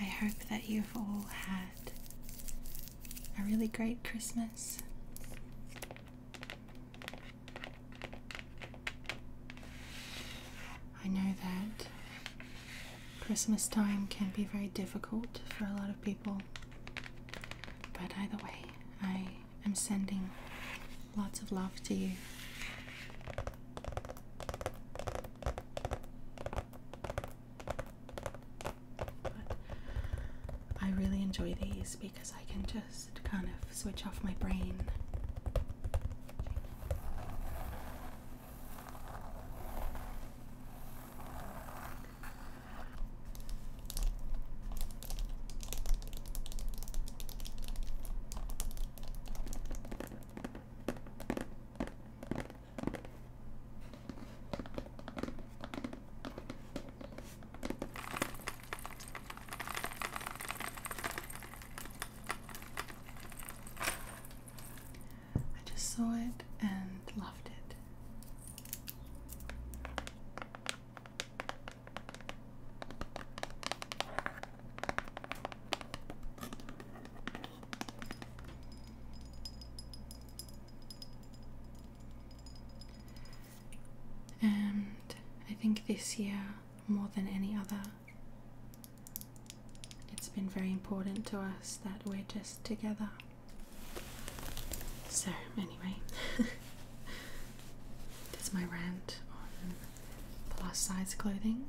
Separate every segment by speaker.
Speaker 1: I hope that you've all had a really great Christmas. I know that Christmas time can be very difficult for a lot of people, but either way, I am sending lots of love to you. I really enjoy these because I can just kind of switch off my brain. I just saw it and loved it. And I think this year, more than any other, it's been very important to us that we're just together. So, anyway, there's my rant on plus size clothing.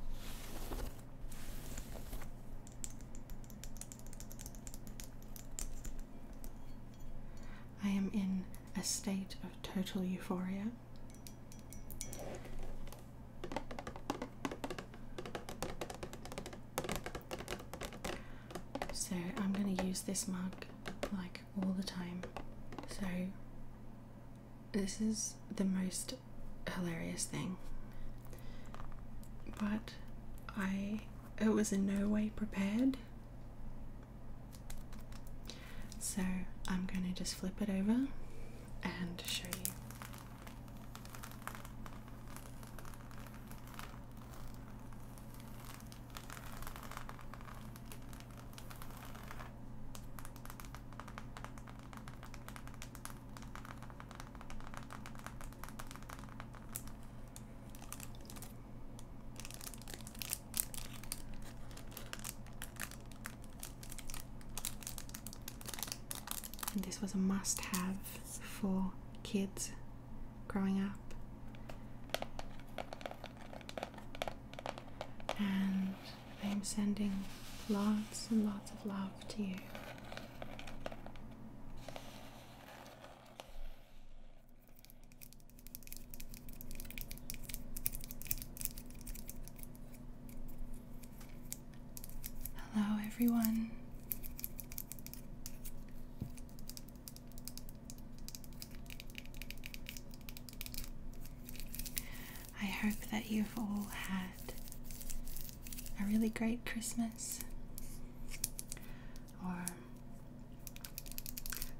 Speaker 1: I am in a state of total euphoria. So I'm going to use this mug like all the time. So this is the most hilarious thing. But I it was in no way prepared. So I'm going to just flip it over and show you. And this was a must have for kids growing up. And I'm sending lots and lots of love to you. Hello, everyone. I hope that you've all had a really great Christmas or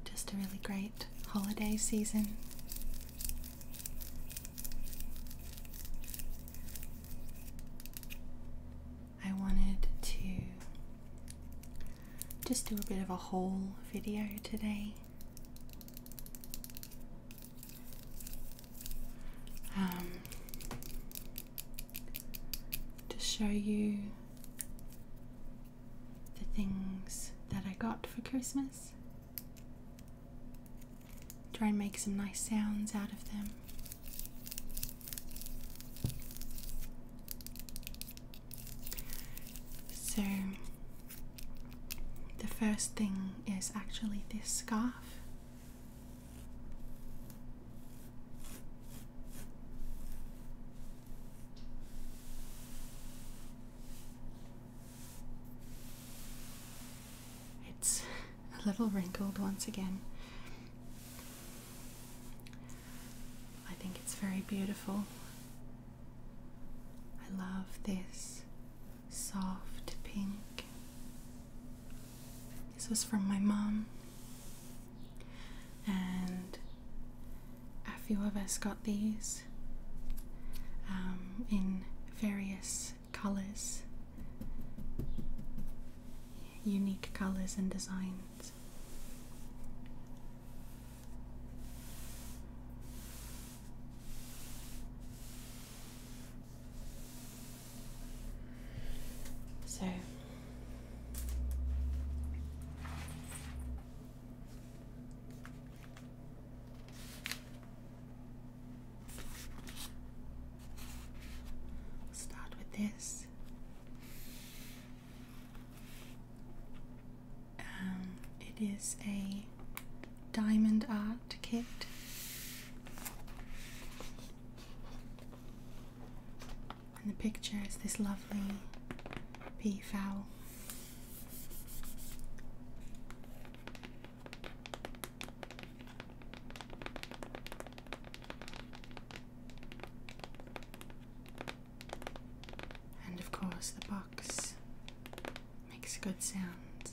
Speaker 1: just a really great holiday season. I wanted to just do a bit of a whole video today. Um, to show you the things that I got for Christmas. Try and make some nice sounds out of them. So, the first thing is actually this scarf. It's a little wrinkled once again. I think it's very beautiful. I love this soft pink. This was from my mom. And a few of us got these um, in various colors, unique colors and designs. So start with this. Um, it is a diamond art kit. And the picture is this lovely peafowl. And of course, the box makes good sounds.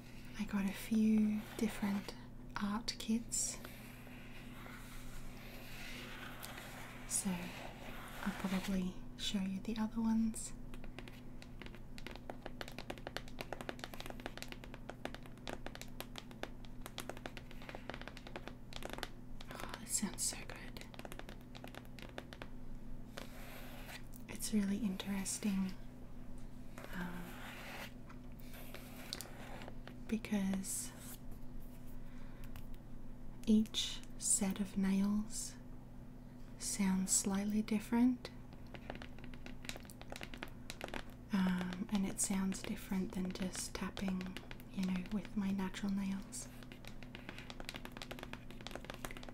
Speaker 1: I got a few different art kits. So I'll probably show you the other ones. Oh, this sounds so good. It's really interesting uh, because each set of nails sounds slightly different. Um, and it sounds different than just tapping, you know, with my natural nails.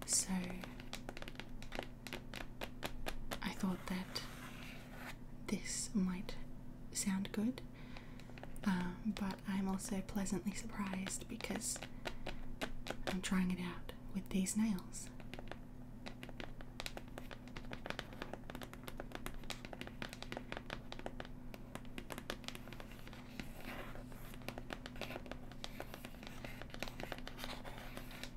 Speaker 1: So I thought that this might sound good, um, but I'm also pleasantly surprised because I'm trying it out with these nails.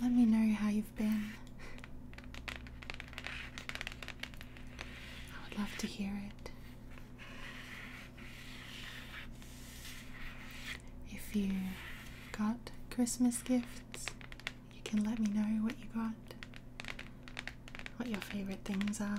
Speaker 1: Let me know how you've been. I would love to hear it. If you got Christmas gifts, you can let me know what you got, what your favorite things are.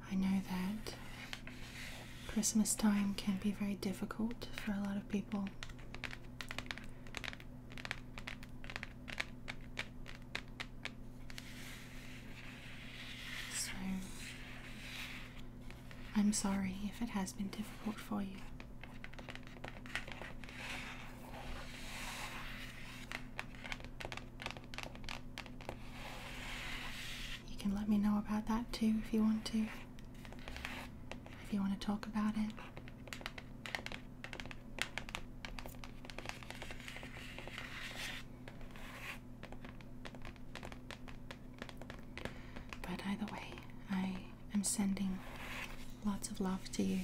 Speaker 1: I know that Christmas time can be very difficult for a lot of people. I'm sorry if it has been difficult for you. You can let me know about that too if you want to. If you want to talk about it. But either way, I am sending lots of love to you.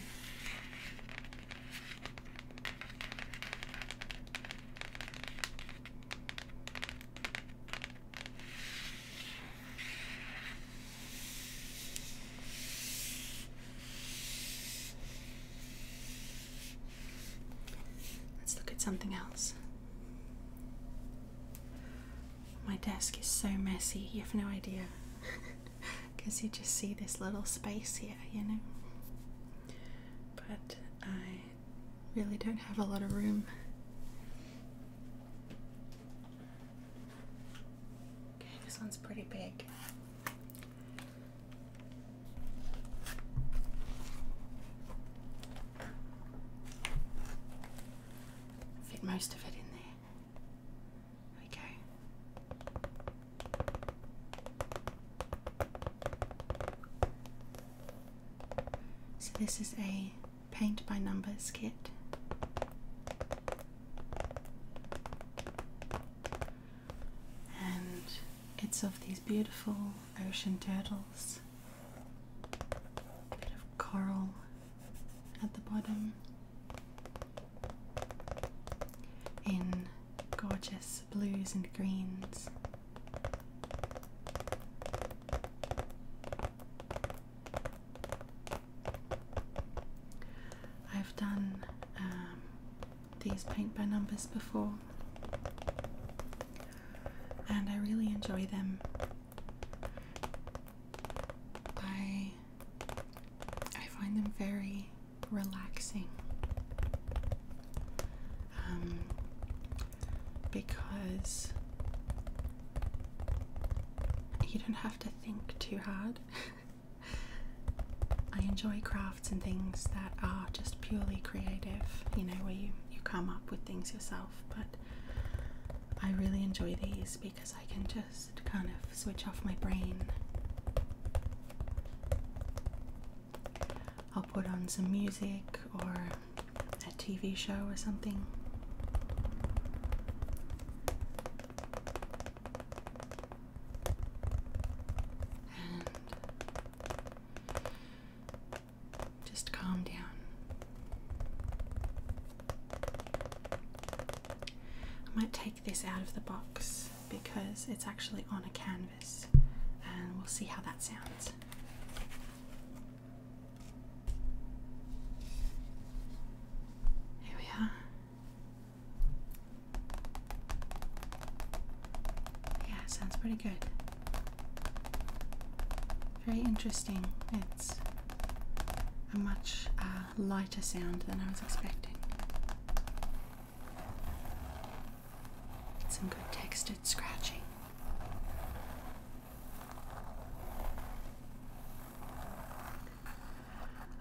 Speaker 1: Let's look at something else. My desk is so messy, you have no idea. Because you just see this little space here, you know? But I really don't have a lot of room. this one's pretty big. Fit most of it in there. Okay. So, this is a paint by numbers kit. And it's of these beautiful ocean turtles, bit of coral at the bottom, in gorgeous blues and greens. I've done um, these paint by numbers before, and I really enjoy them. I I find them very relaxing. Um, because you don't have to think too hard. I enjoy crafts and things that are just purely creative, you know, where you, you come up with things yourself. But I really enjoy these because I can just kind of switch off my brain. I'll put on some music or a TV show or something. just calm down. I might take this out of the box because it's actually on a can and we'll see how that sounds. Here we are. Yeah, it sounds pretty good. Very interesting. It's a much uh, lighter sound than I was expecting some good textured scratching.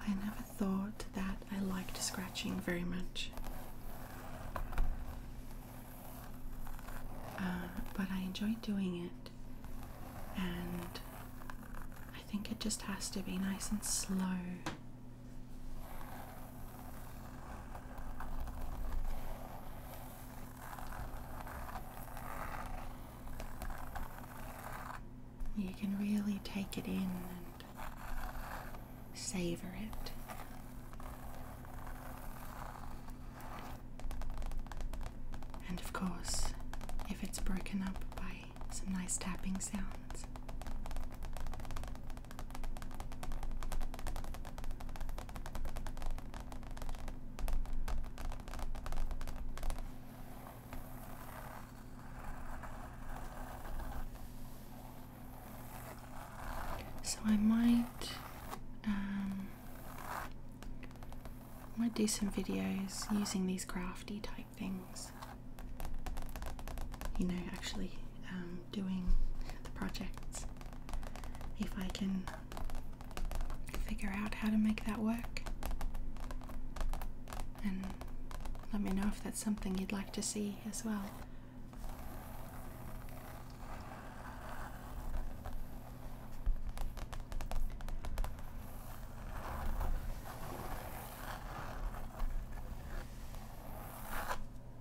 Speaker 1: I never thought that I liked scratching very much. Uh, but I enjoy doing it, and I think it just has to be nice and slow. You can really take it in and savor it. And of course, if it's broken up by some nice tapping sounds, so I might um, I might do some videos using these crafty type things. You know, actually um, doing the projects. If I can figure out how to make that work. And let me know if that's something you'd like to see as well.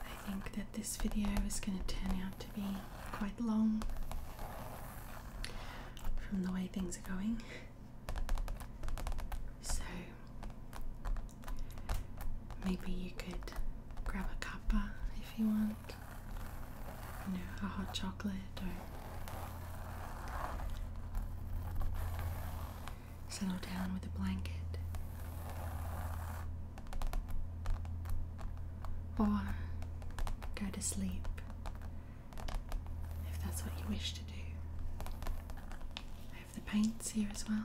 Speaker 1: I think that this video is going to turn out to be quite long from the way things are going. So maybe you could grab a cuppa if you want you know, a hot chocolate or settle down with a blanket. Or go to sleep if that's what you wish to do. I have the paints here as well.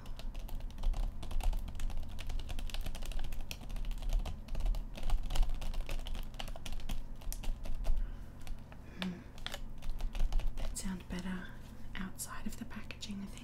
Speaker 1: Hmm. That sounds better outside of the packaging, I think.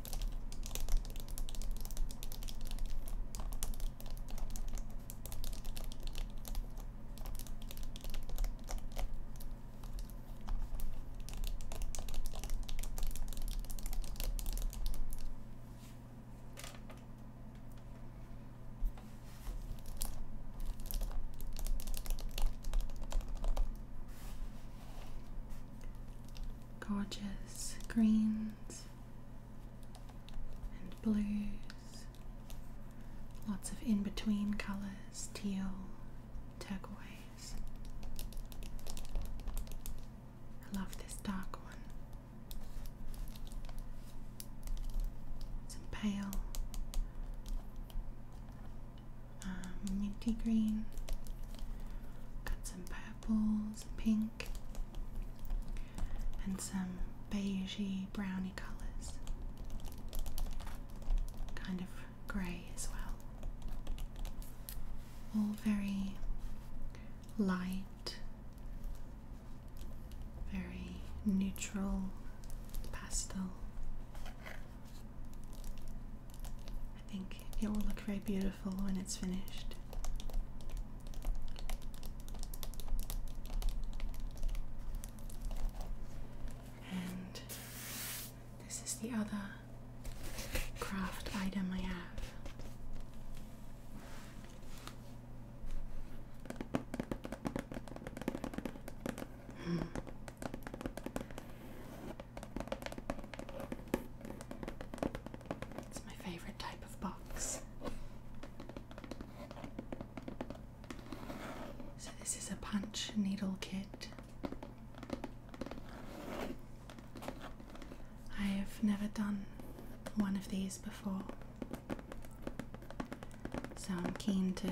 Speaker 1: Gorgeous green and blues, lots of in between colors, teal, turquoise. I love this dark one. Some pale um, minty green. Got some pale purples, pink, and some beigey browny colours. Kind of grey as well. All very light, very neutral pastel. I think it will look very beautiful when it's finished. And this is the other craft item I have. Hmm. It's my favorite type of box. So, this is a punch needle kit. I have never done one of these before, so I'm keen to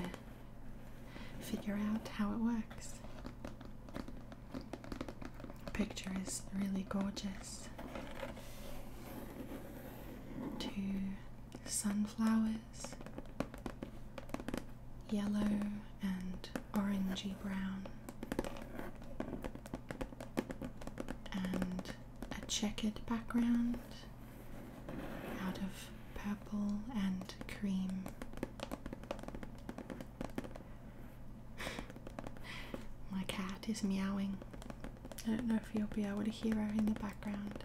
Speaker 1: figure out how it works picture is really gorgeous. Two sunflowers, yellow and orangy brown, and a checkered background out of purple and cream. My cat is meowing. I don't know if you'll be able to hear her in the background.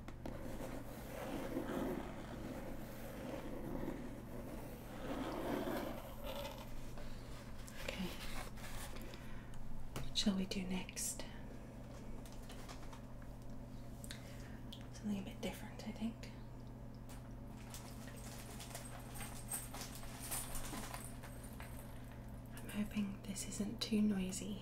Speaker 1: Okay. What shall we do next? Something a bit different, I think. I'm hoping this isn't too noisy.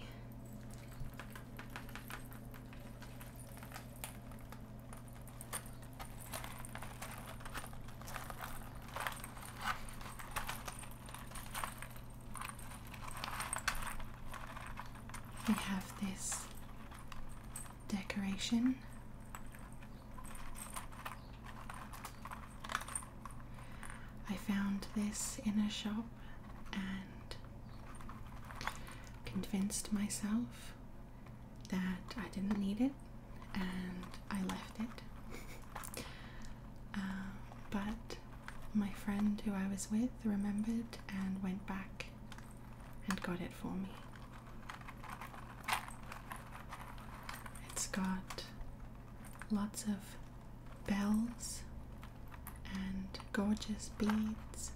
Speaker 1: We have this decoration. I found this in a shop and convinced myself that I didn't need it and I left it. Uh, but my friend who I was with remembered and went back and got it for me. It's got lots of bells and gorgeous beads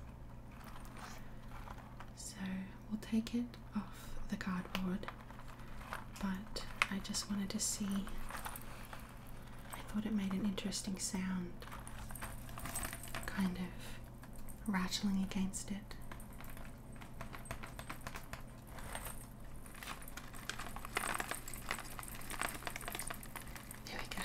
Speaker 1: so we'll take it off the cardboard, but I just wanted to see. I thought it made an interesting sound, kind of rattling against it. There we go.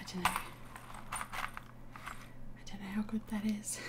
Speaker 1: I don't know. I don't know how good that is.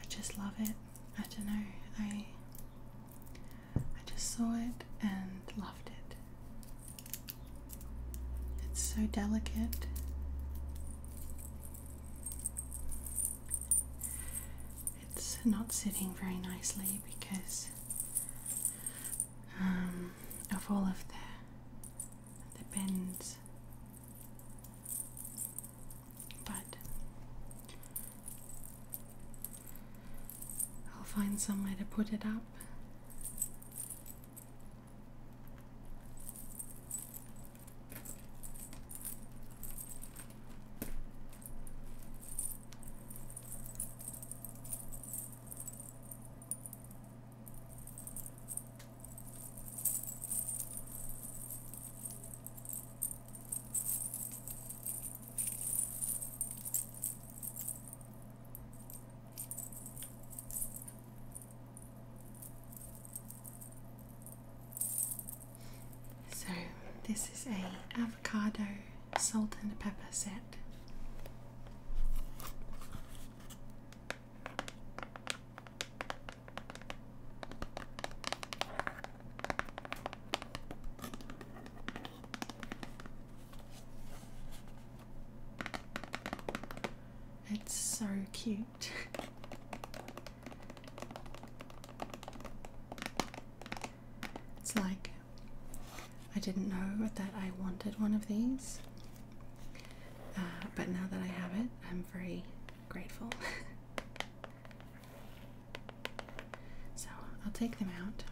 Speaker 1: I just love it. I don't know. I I just saw it and loved it. It's so delicate. It's not sitting very nicely because um, of all of the the bends but I'll find somewhere to put it up. So this is a avocado salt and pepper set. It's so cute. it's like I didn't know that I wanted one of these, uh, but now that I have it, I'm free grateful. so I'll take them out.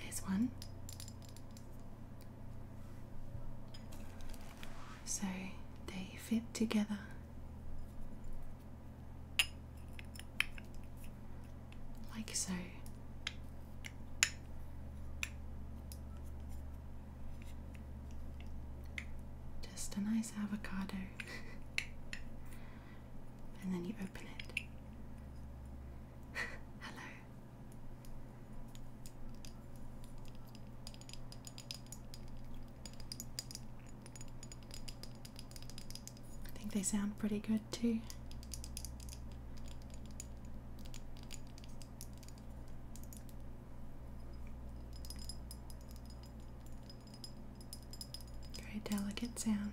Speaker 1: There's one so they fit together. Like so. Just a nice avocado. and then you open it. Hello. I think they sound pretty good too. Very delicate sound.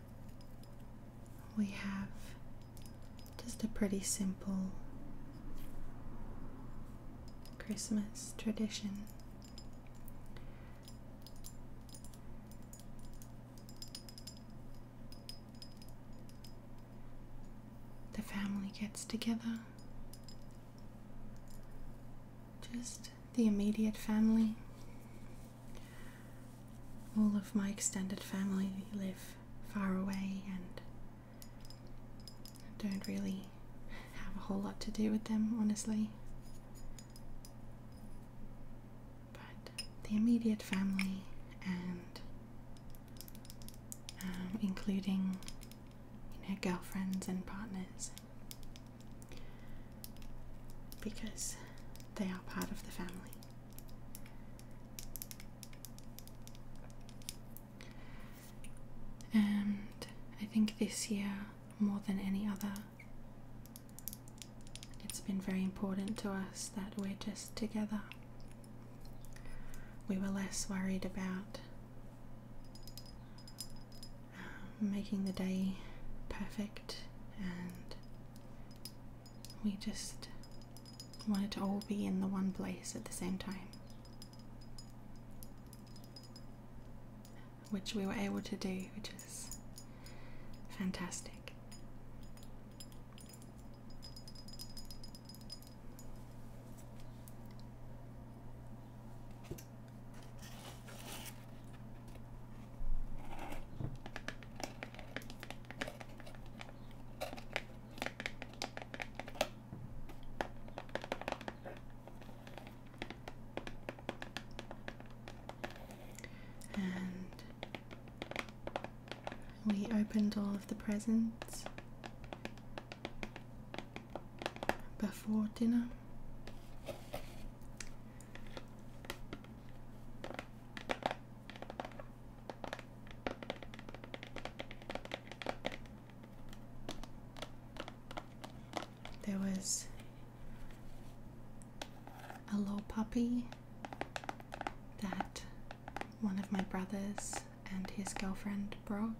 Speaker 1: we have just a pretty simple Christmas tradition. The family gets together. Just the immediate family all of my extended family live far away and don't really have a whole lot to do with them, honestly. But the immediate family and um, including you know girlfriends and partners because they are part of the family. And I think this year, more than any other, it's been very important to us that we're just together. We were less worried about um, making the day perfect and we just wanted to all be in the one place at the same time, which we were able to do, which is fantastic. And we opened all of the presents before dinner. There was a little puppy that one of my brothers and his girlfriend brought.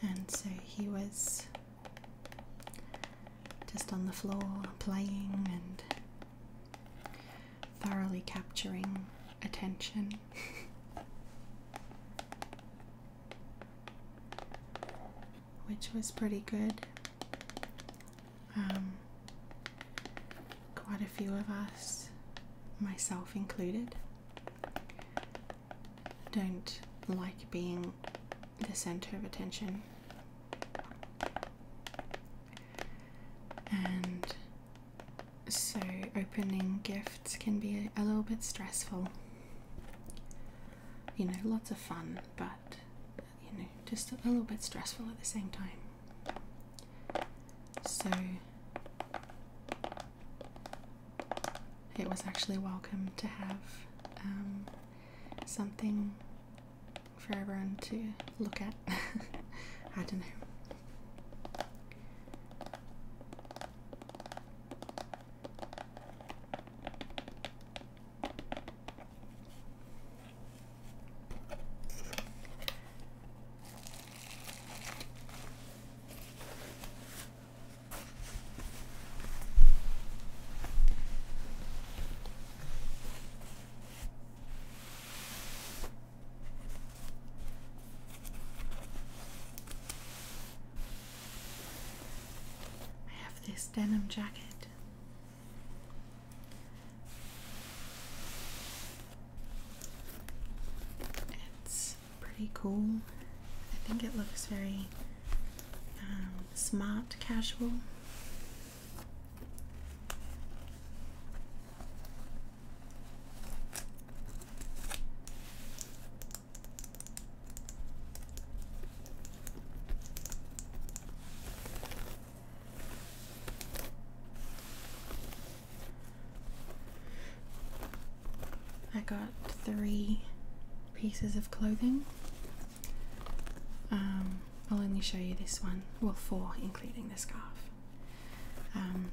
Speaker 1: And so he was just on the floor playing and thoroughly capturing attention. Which was pretty good. Um, quite a few of us, myself included, don't like being the center of attention and so, opening gifts can be a, little bit stressful. You know, lots of fun, but you know, just a little bit stressful at the same time. So, it was actually welcome to have um, something for everyone to look at. I don't know. I have this denim jacket. It's pretty cool. I think it looks very um, smart casual. I got three pieces of clothing um, I'll only show you this one, well, four, including the scarf. Um,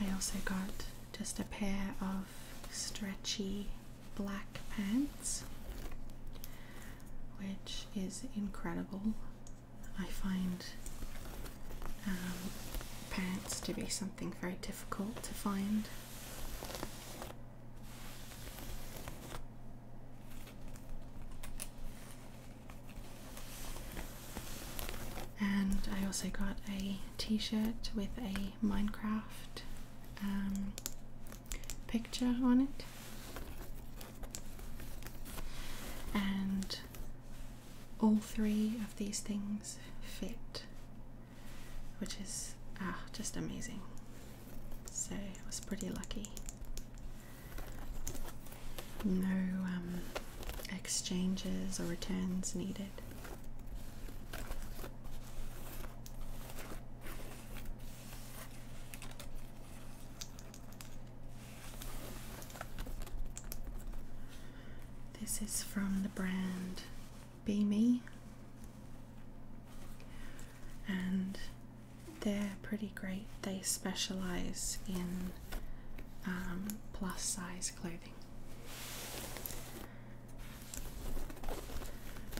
Speaker 1: I also got just a pair of stretchy black pants, which is incredible. I find um, pants to be something very difficult to find. And I also got a t shirt with a Minecraft um, picture on it. And all three of these things fit which is ah, just amazing. So I was pretty lucky. No um, exchanges or returns needed. This is from the brand be me. And they're pretty great. They specialize in um, plus size clothing,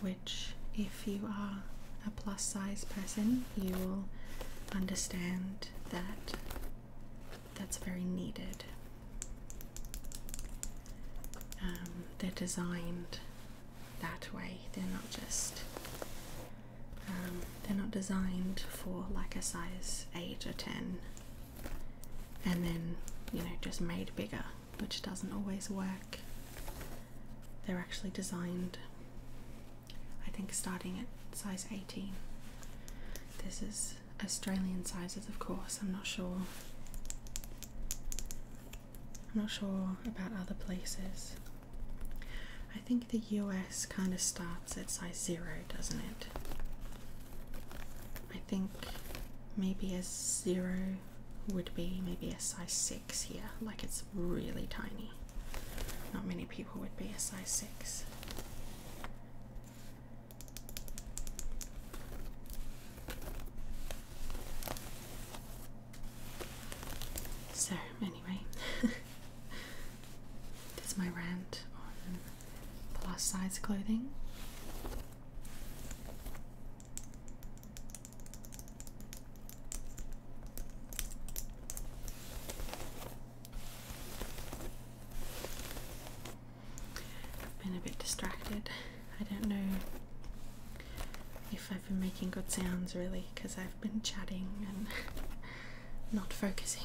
Speaker 1: which, if you are a plus size person, you will understand that that's very needed. Um, they're designed that way. They're not just um, they're not designed for like a size eight or ten, and then you know just made bigger, which doesn't always work. They're actually designed, I think, starting at size eighteen. This is Australian sizes, of course. I'm not sure I'm not sure about other places. I think the US kind of starts at size zero, doesn't it? I think maybe a zero would be maybe a size six here, like it's really tiny. Not many people would be a size six. So, anyway, that's my rant on plus size clothing. I've been a bit distracted. I don't know if I've been making good sounds really because I've been chatting and not focusing.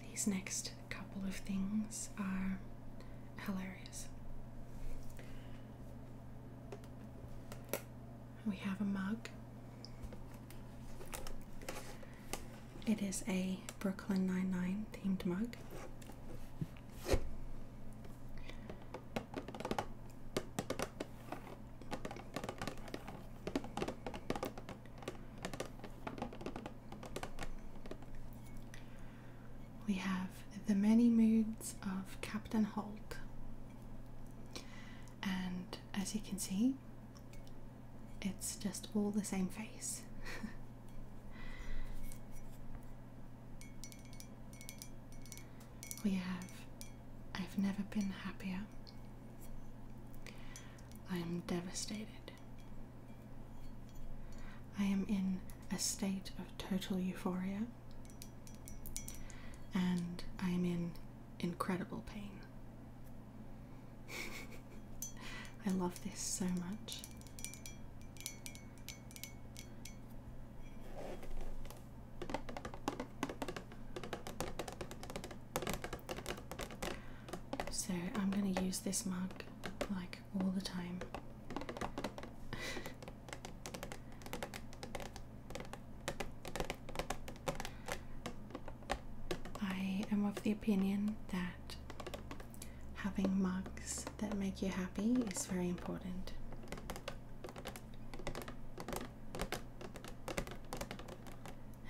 Speaker 1: These next couple of things are hilarious. We have a mug. It is a Brooklyn Nine-Nine themed mug. We have the many moods of Captain Holt, and as you can see, it's just all the same face. we have. I've never been happier. I am devastated. I am in a state of total euphoria and I am in incredible pain. I love this so much. So I'm going to use this mug like all the time. I am of the opinion that having mugs that make you happy is very important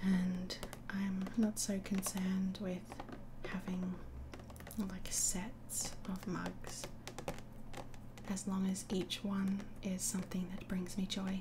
Speaker 1: and I'm not so concerned with having like sets of mugs as long as each one is something that brings me joy.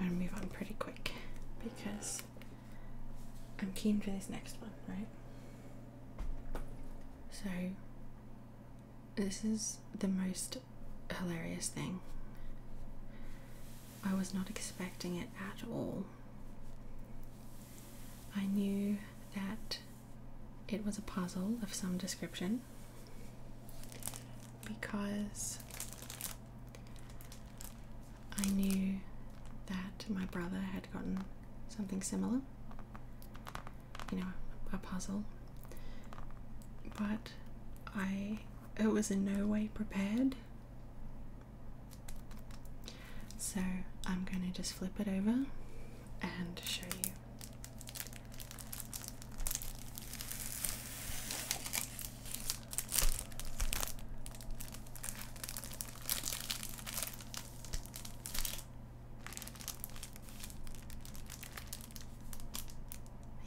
Speaker 1: I'm going to move on pretty quick because I'm keen for this next one, right? So, this is the most hilarious thing. I was not expecting it at all. I knew that it was a puzzle of some description because I knew that my brother had gotten something similar, you know, a puzzle, but I it was in no way prepared so I'm going to just flip it over and show you.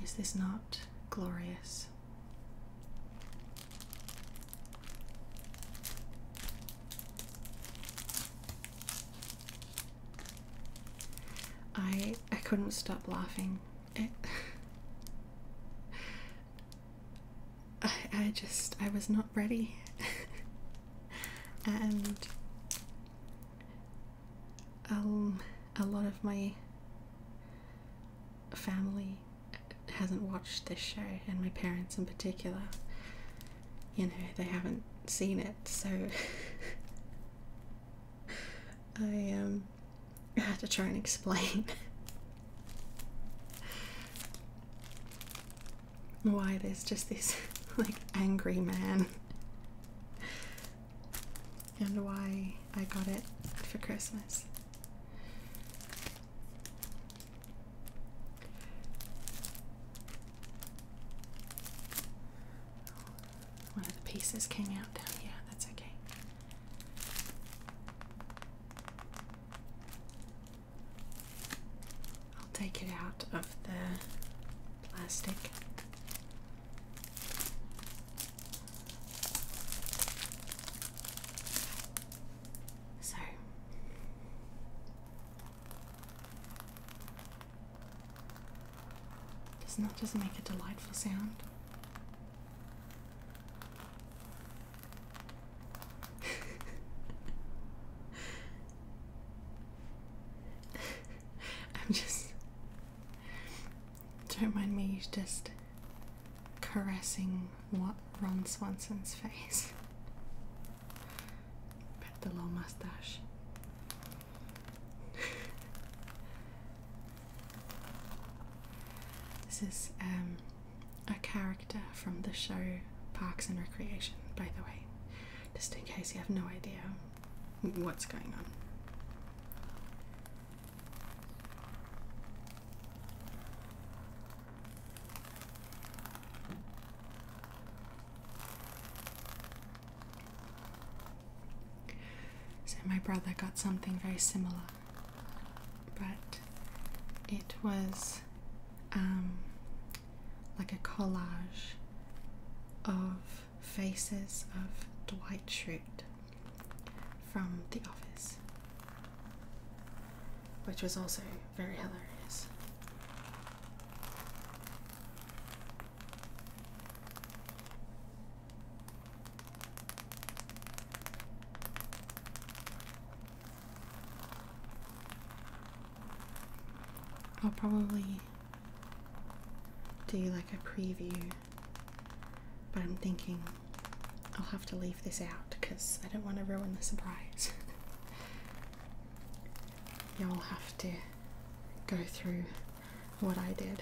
Speaker 1: Is this not glorious? I I couldn't stop laughing. I I just I was not ready, and um, a lot of my family hasn't watched this show, and my parents in particular, you know, they haven't seen it, so I um had to try and explain why there's just this like angry man and why I got it for Christmas. One of the pieces came out down here. That's okay. I'll take it out of the plastic. So does not just make a delightful sound. I'm just don't mind me just caressing what Ron Swanson's face. But the little mustache. this is um, a character from the show Parks and Recreation, by the way, just in case you have no idea what's going on. So, my brother got something very similar, but it was um, like a collage of faces of Dwight Schrute from The Office, which was also very hilarious. I'll probably do like a preview, but I'm thinking I'll have to leave this out because I don't want to ruin the surprise. Y'all have to go through what I did.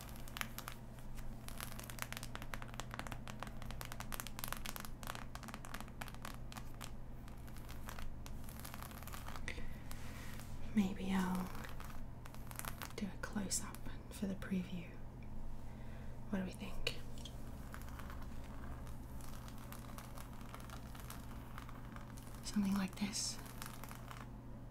Speaker 1: Maybe I'll do a close up for the preview. What do we think? Something like this.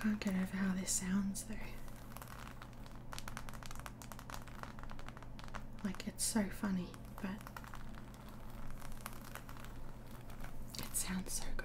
Speaker 1: I can't get over how this sounds though. Like it's so funny, but it sounds so good.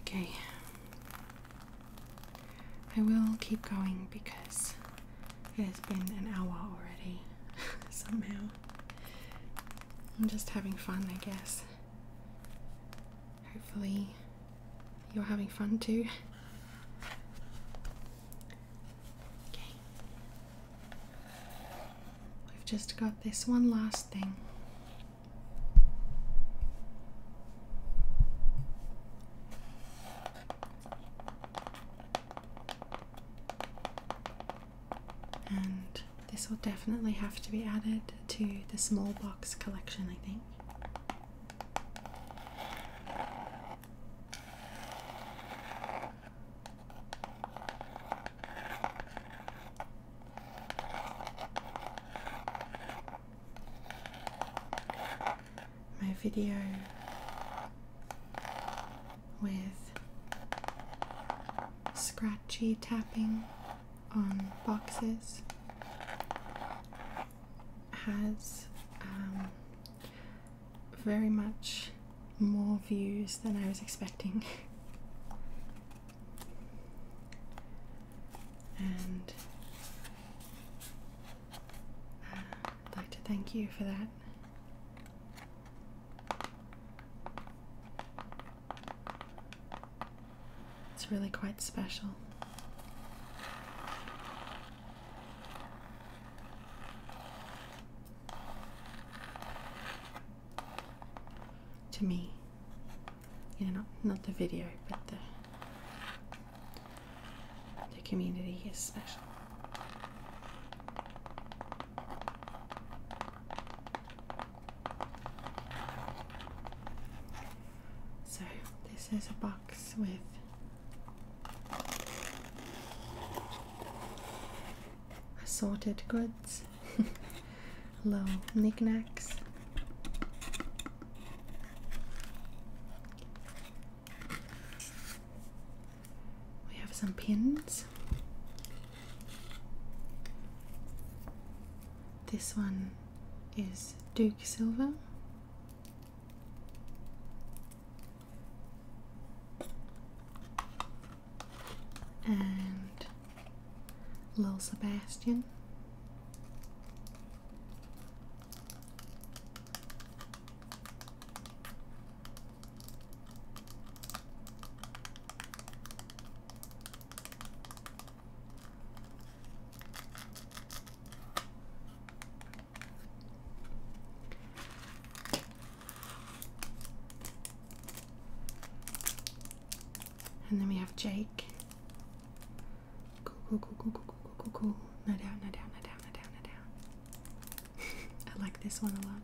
Speaker 1: Okay. I will keep going because it has been an hour already, somehow. I'm just having fun, I guess. Hopefully, you're having fun too. Okay. We've just got this one last thing. And this will definitely have to be added to the small box collection, I think. My video with scratchy tapping on boxes has um, very much more views than I was expecting. and uh, I'd like to thank you for that. It's really quite special to me. Yeah, not not the video, but the the community is special. So this is a box with assorted goods Hello, knickknacks. We have some pins. This one is Duke Silver and little Sebastian. And then we have Jake. Cool, cool, cool, cool, cool, cool, cool, cool. No doubt, no doubt, no doubt, no doubt, no doubt. I like this one a lot.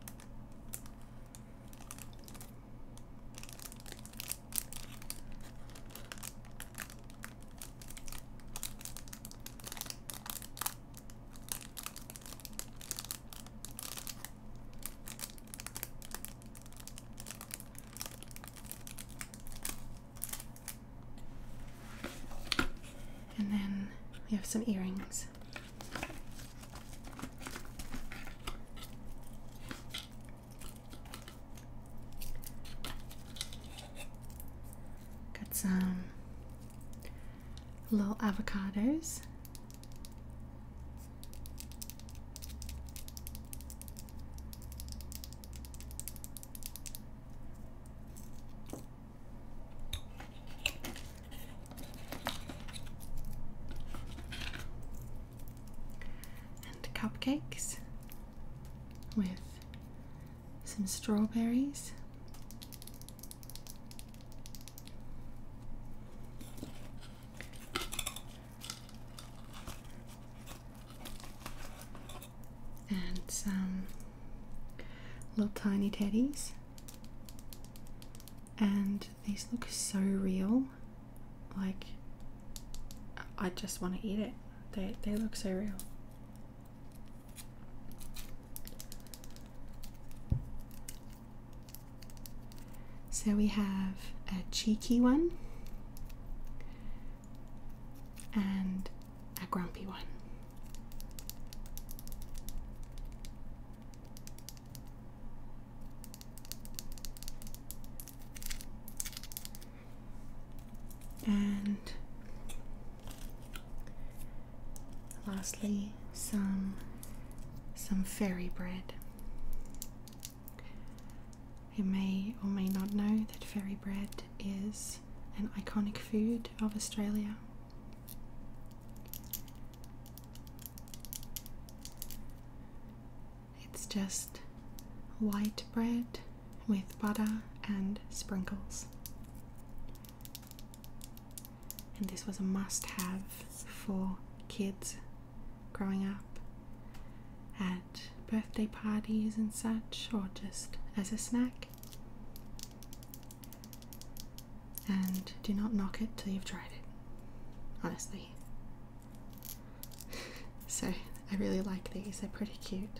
Speaker 1: And then we have some earrings. Got some little avocados and cupcakes with some strawberries and some little tiny teddies. And these look so real. Like, I just want to eat it. They, they look so real. So we have a cheeky one and a grumpy one. And lastly, some some fairy bread. You may or may not know that fairy bread is an iconic food of Australia. It's just white bread with butter and sprinkles and this was a must have for kids growing up at birthday parties and such, or just as a snack. And do not knock it till you've tried it, honestly. so, I really like these, they're pretty cute.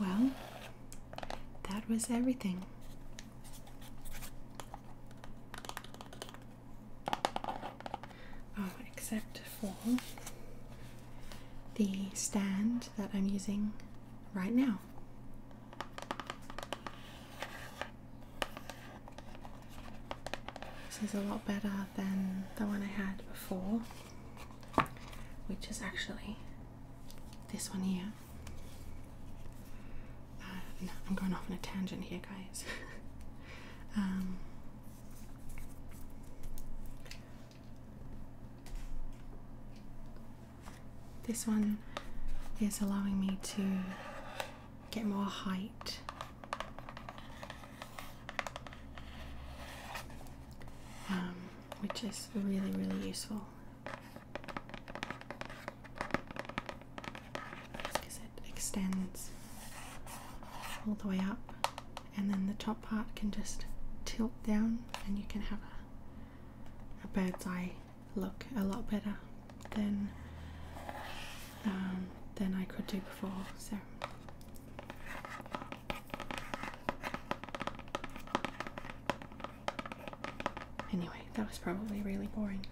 Speaker 1: well, that was everything. Oh, except for the stand that I'm using right now. This is a lot better than the one I had before which is actually this one here. Uh, I'm going off on a tangent here, guys. Um, this one is allowing me to get more height. Um, which is really, really useful. Because it extends all the way up, and then the top part can just tilt down, and you can have a, a bird's eye look a lot better than um, than I could do before. So Anyway, that was probably really boring.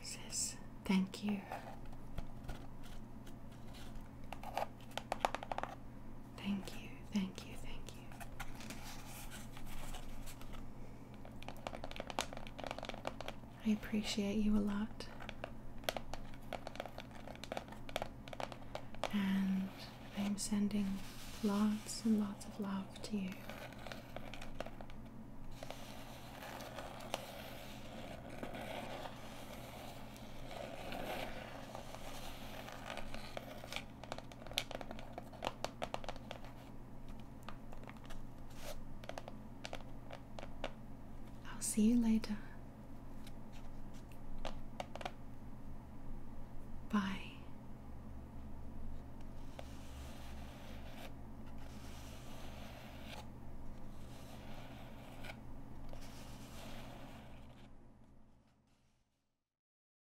Speaker 1: Says thank you. Thank you, thank you, thank you. I appreciate you a lot. And I'm sending lots and lots of love to you. I'll see you later. Bye.